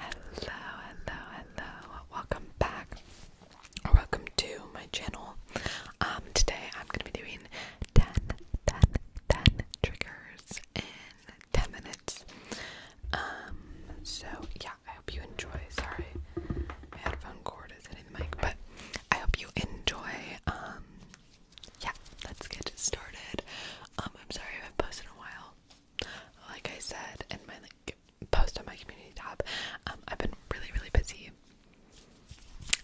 Hello, hello, hello. Welcome back welcome to my channel. Um today I'm gonna be doing 10, triggers in 10 minutes. Um so yeah, I hope you enjoy. Sorry, my headphone cord is hitting the mic, but I hope you enjoy. Um yeah, let's get started. Um I'm sorry I haven't posted in a while like I said in my post on my community tab, um, I've been really really busy,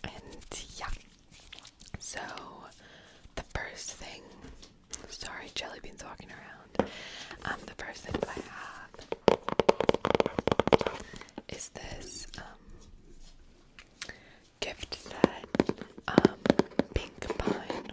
and yeah. So the first thing, sorry, jelly beans walking around. Um, the first thing I have is this um, gift set, um, pink pine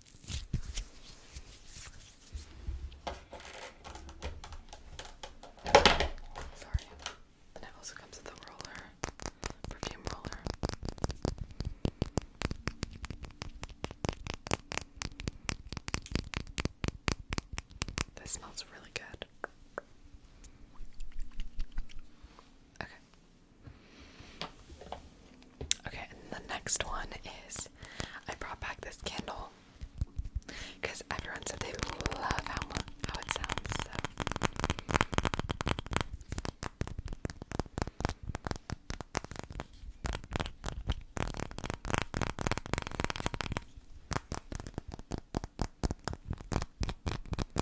Sorry. And it also comes with a roller, perfume roller. This smells really good. Okay, Okay, and the next one is I brought back this candle because everyone said they love how how it sounds. So.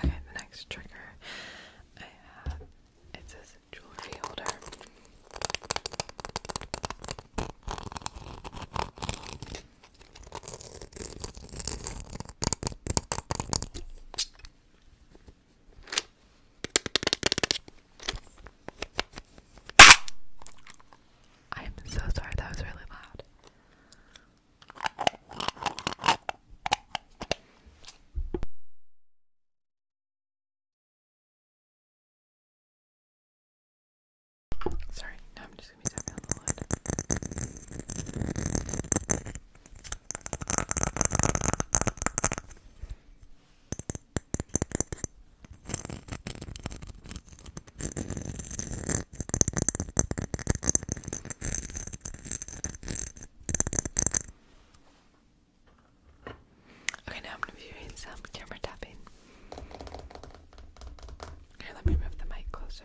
Okay, the next trigger I have it says jewelry holder. I'm so sorry, that was really loud. Sorry, now I'm just gonna be tapping on the lid. Okay, now I'm going to be doing some camera tapping. Here, let me move the mic closer.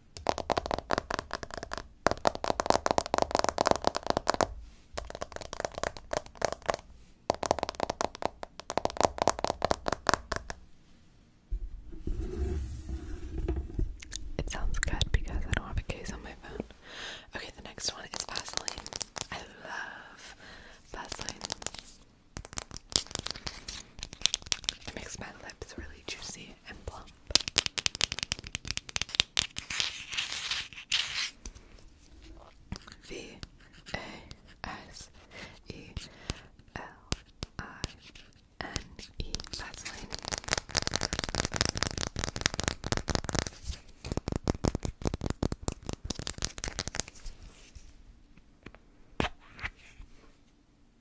It sounds good because I don't have a case on my phone. Okay, the next one is Vaseline. I love Vaseline. It makes my lips really juicy and plump. V A S E L I N E vaseline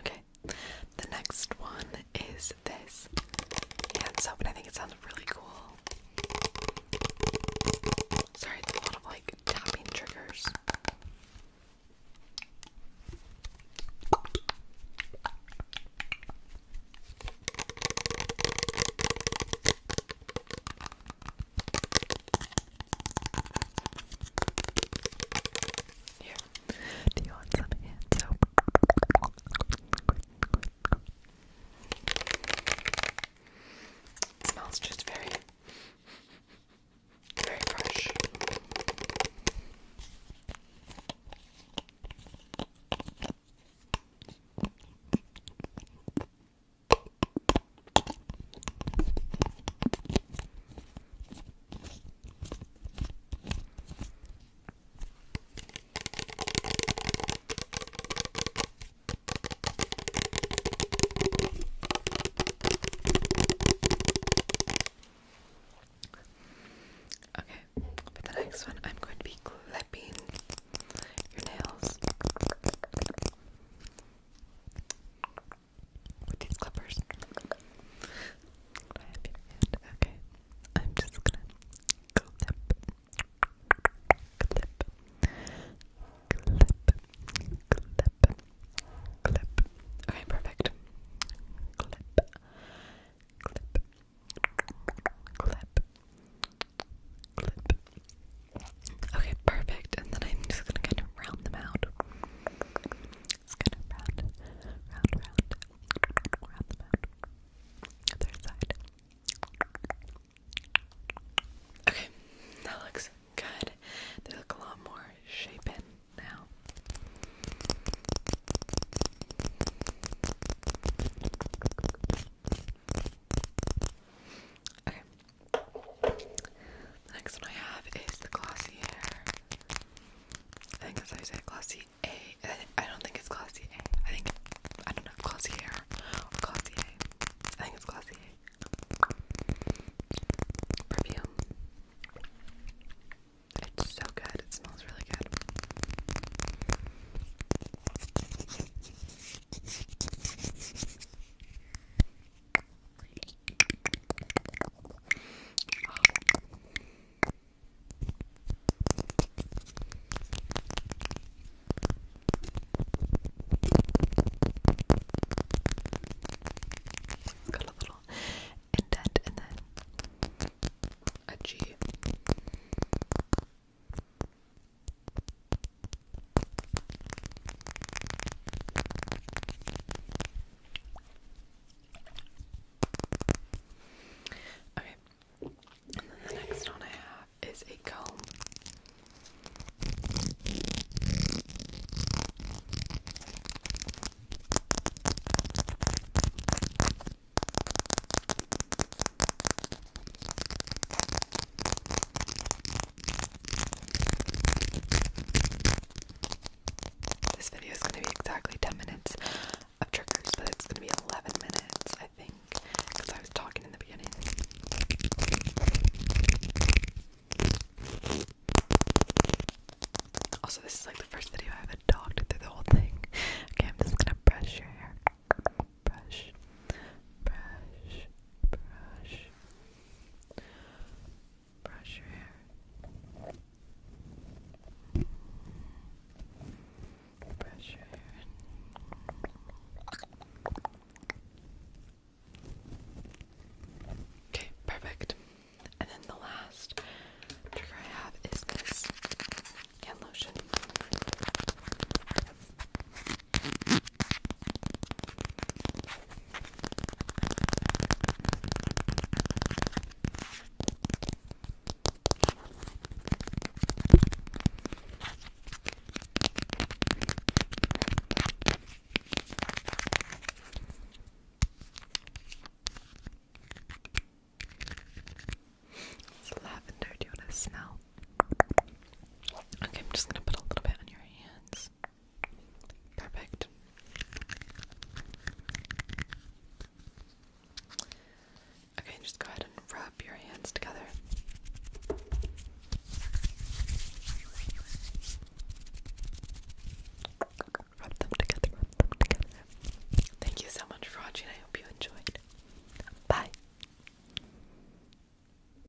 Okay, the next one is this hand soap, and I think it sounds really cool. Sorry, a lot of like tapping triggers. Here. Do you want some hand soap? smells just very, very fresh. Okay, for the next one, I'm going to be clipping your nails with these clippers. Okay, I'm just gonna clip, clip, clip, clip, clip. Okay, perfect. Clip, clip, clip, clip. Okay, perfect. And then I'm just gonna kind of round them out. Just kind of round, round, round, round them out. Other side. Okay, that looks good. They look a lot more shapen now. Okay. The next one I have is the Glossier. I think that's how you say it, Glossier. I don't think it's glossy a. I think, I don't know, Glossier or Glossier. I think it's Glossier. Perfume. It's so good. It smells really good. Got a little indent and then a G. Okay, and then the next one I have is a comb. This video is going to be exactly 10 minutes of triggers, but it's going to be 11 minutes, I think, because I was talking in the beginning. Also, this is like the first video I haven't talked through the whole thing. Okay, I'm just gonna brush your hair. Brush, brush, brush, brush your hair. Brush your hair. Okay, perfect. And then the last trigger I have is this hand lotion. It's lavender. Do you want to smell? Okay, I'm just gonna put a little bit on your hands. Perfect. Okay, just go ahead and rub your hands together. Rub them together, rub them together. Thank you so much for watching. I hope you enjoyed. Bye.